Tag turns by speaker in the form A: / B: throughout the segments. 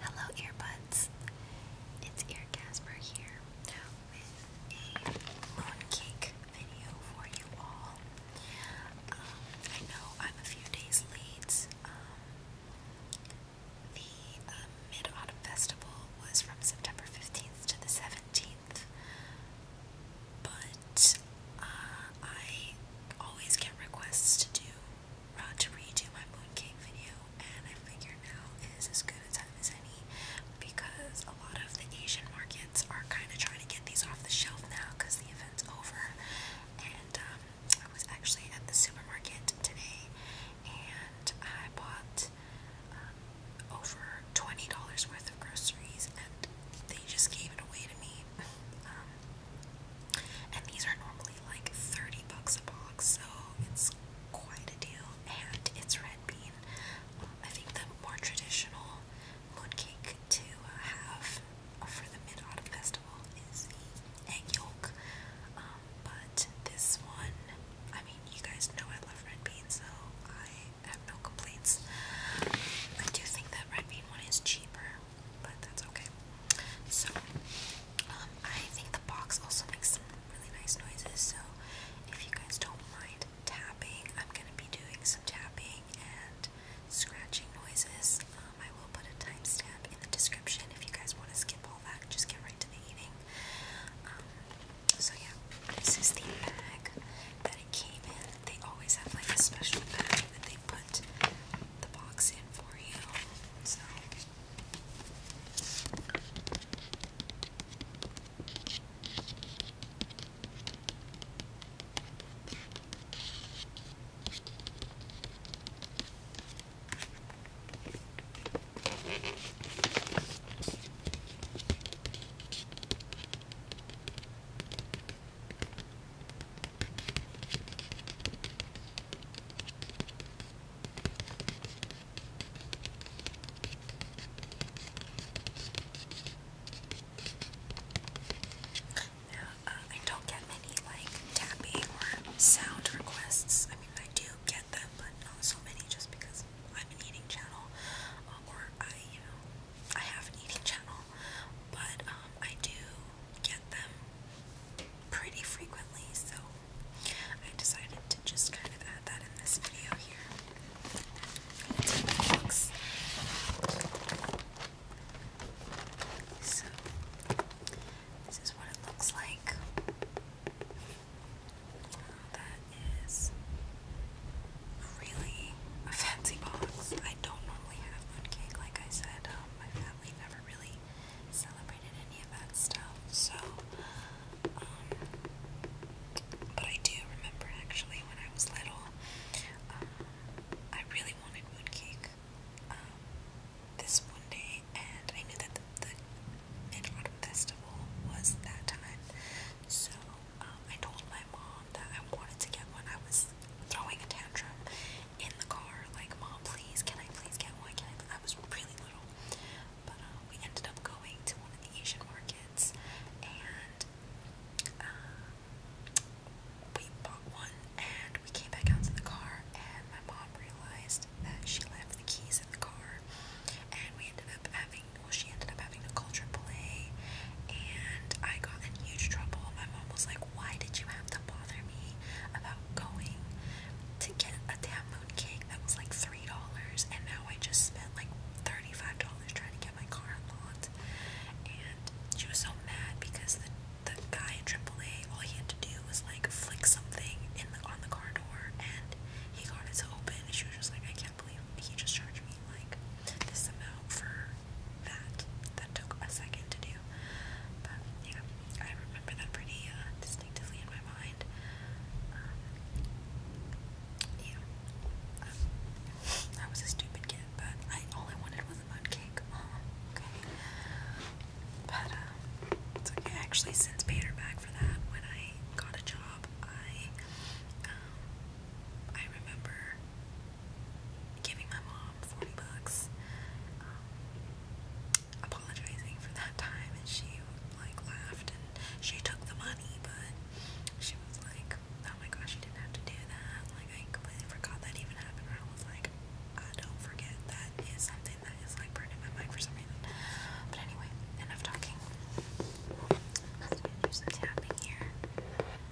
A: Hello, earbuds. It's Ear Casper here with a mooncake video for you all. Um, I know I'm a few days late. Um, the um, Mid Autumn Festival was from September 15th to the 17th, but uh, I always get requests to do uh, to redo my mooncake video, and I figure now is as good a time as any because a lot of the Asian markets are kind of trying to get these off the shelf now because the event's over. And um, I was actually at the supermarket today, and I bought um, over twenty dollars worth of groceries, and they just gave it away to me. um, and these are normally like 30 bucks a box, so it's quite a deal. And it's red bean. Um, I think the more traditional mooncake to uh, have for the Mid Autumn Festival is the egg yolk. Um, but this one, I mean, you guys know I love red beans, so I have no complaints. I do think that red bean one is cheaper, but that's okay. So, um, I think the box also makes some really nice noises, so if you guys don't mind tapping, I'm gonna be doing some tapping and scratching noises. Um, I will put a timestamp in the description if you guys want to skip all that, just get right to the eating. Um, so yeah, this is the bag that it came in. They always have like a special bag that they put the box in it for you. So now, uh, I don't get many like tapping or sound requests. I mean, I do get them, but not so many just because I'm an eating channel, uh, or I, you know, I have an eating channel but um, I do get them pretty frequently, so I decided to just kind of add that in this video here. That's how it So, this is what it looks like. That is really a fancy box. I don't normally have moon cake, like I said. Um, Oh, my family never really celebrated any of that stuff, so, um, but I do remember actually when I was little, um, I really wanted moon um, this one day, and I knew that the, Mid-Autumn Festival was that time, so, I told my mom that I wanted to get one, I was throwing a tantrum in the car, like, Mom, please, can I please get one? I? was really little. But uh, we ended up going to one of the Asian markets and uh, we bought one and we came back out to the car and my mom realized that she left the keys in the car and we ended up having well she ended up having to call AAA and I got in huge trouble. My mom was like, why did you have to bother me about going to get a damn moon cake that was like $3 and now I just spent like $35 trying to get my car unlocked? And she was so mad because the the guy at AAA, all he had to do was like flick something in the on the car door, and he got it to open. And she was just like, "I can't believe he just charged me like, this amount for that. That took a second to do. But yeah, I remember that pretty uh, in my mind. Um, yeah. Um, I was a stupid kid, but I all I wanted was a mud cake. Oh, okay. But, uh, actually since paid her back for that when I got a job. I, um, I remember giving my mom 40 bucks, um, apologizing for that time, and she like laughed and she took the money, but she was like, "Oh my gosh, you didn't have to do that." Like I completely forgot that even happened. And I was like, "I don't forget that is something that is like burned my mind for some reason." But anyway, enough talking. Let's do some tapping here.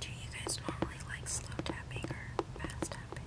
A: do you guys normally like slow tapping or fast tapping?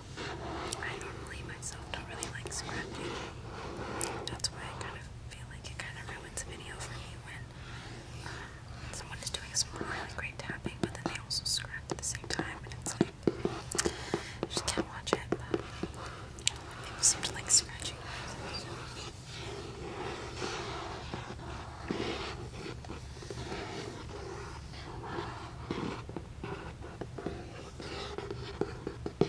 A: I normally myself don't really like scratching. That's why I kind of feel like it kind of ruins a video for me when um, someone is doing some really great tapping, but then they also scratch at the same time, and it's like I just can't watch it. people seem to like scratching.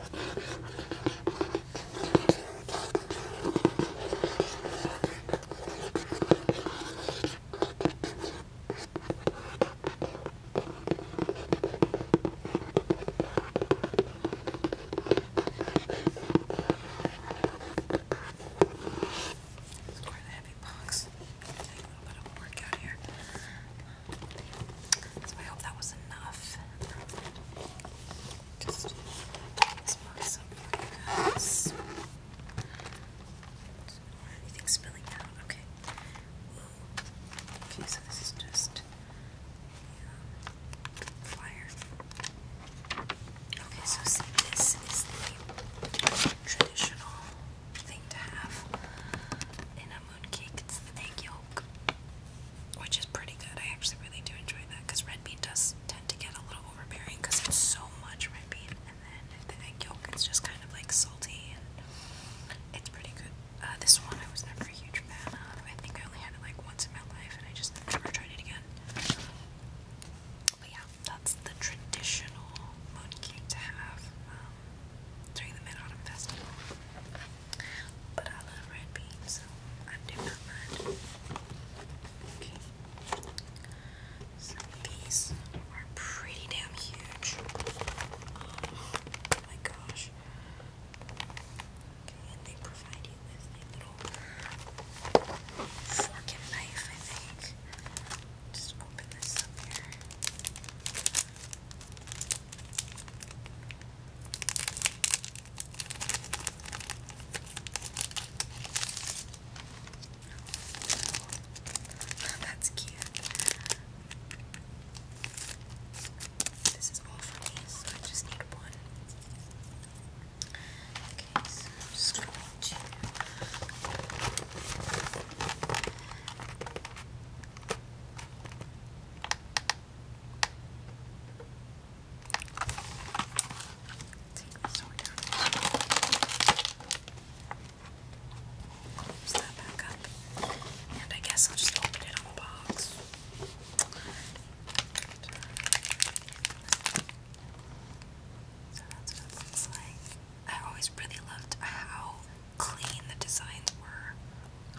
A: It's quite a heavy box. Take a little bit of work out here. So I hope that was enough. Just this box up for you Anything spilling out? Okay. Okay, so this is just yeah, flyer. Okay, so this is the traditional thing to have in a moon it's the egg yolk, which is pretty good. I actually really do enjoy that because red bean does tend to get a little overbearing because it's so much red bean, and then the egg yolk is just kind of like salty, and it's pretty good. Uh, this one I was never a huge fan of. I think I only had it like once in my life, and I just never tried it again. But yeah, that's the traditional moon cake to have um, during the Mid Autumn Festival. But I love red beans, so I do not mind. these are pretty damn huge. Oh my gosh. Okay, and they provide you with a little fork and knife, I think. Just open this up here. Oh, that's cute. This is all for me, so I just need one. Okay, so I'm just going to Take this over down. Close that back up. And I guess I'll just open it on the box. So that's what it looks like. I always really loved how clean the designs were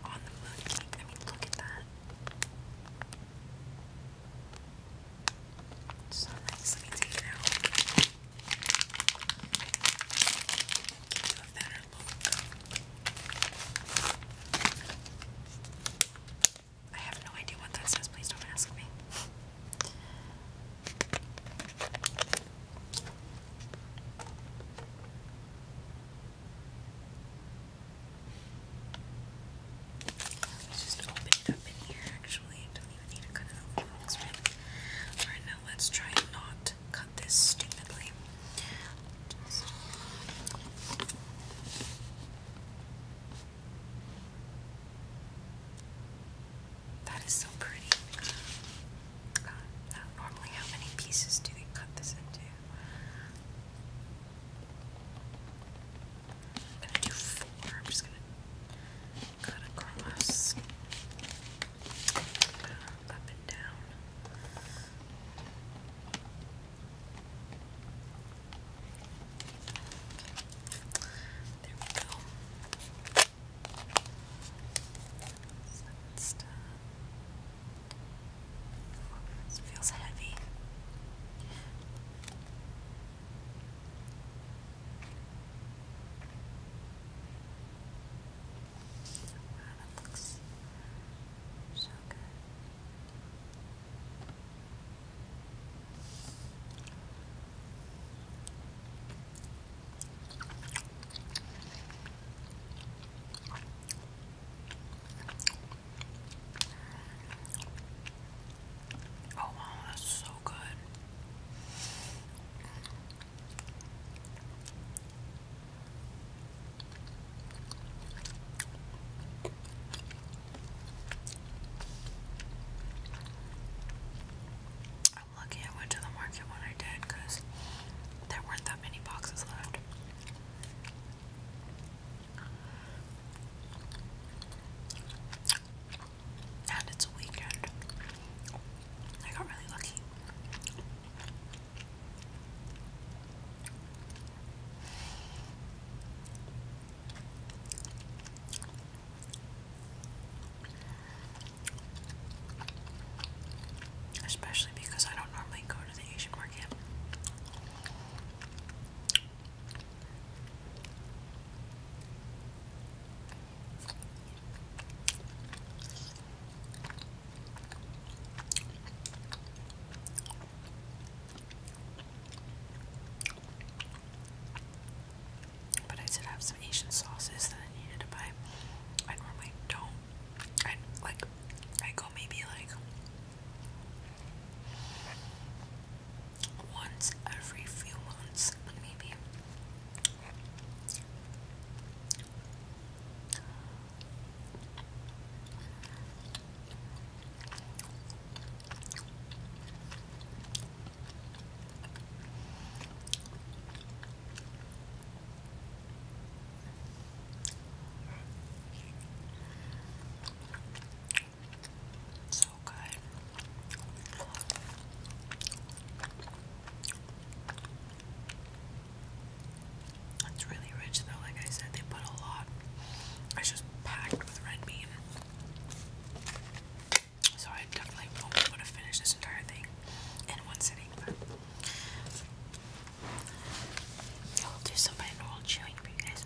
A: on the moon I mean, look at that. so Let me take it out. I have no idea what that says. Please don't ask me. Let's just open it up in here, actually. Don't even need to cut it open. That's now let's try and not cut this stupidly. That is so pretty. Uh, normally, how many pieces do they cut this into? I'm gonna do i I'm just gonna cut across, uh, up and down. There we go. This feels heavy. Wow, that so good. Oh wow, that's so good. I'm lucky I went to the market when I did because there weren't that many boxes left. And it's a weekend. I got really lucky. Especially because I don't normally go to the Asian market. But I did have some Asian sauces that I needed to buy. I normally don't. I like I go maybe like once every few months, maybe. So good. It's really rich though, like I said, they put a lot. It's just packed with red bean. So I definitely won't be able to finish this entire thing in one sitting. I'll do some binaural chewing for you guys.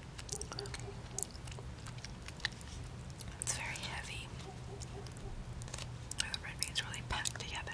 A: It's very heavy. The red beans really packed together.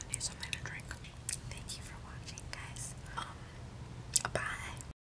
A: I need something to drink. Thank you for watching, guys. Um, bye.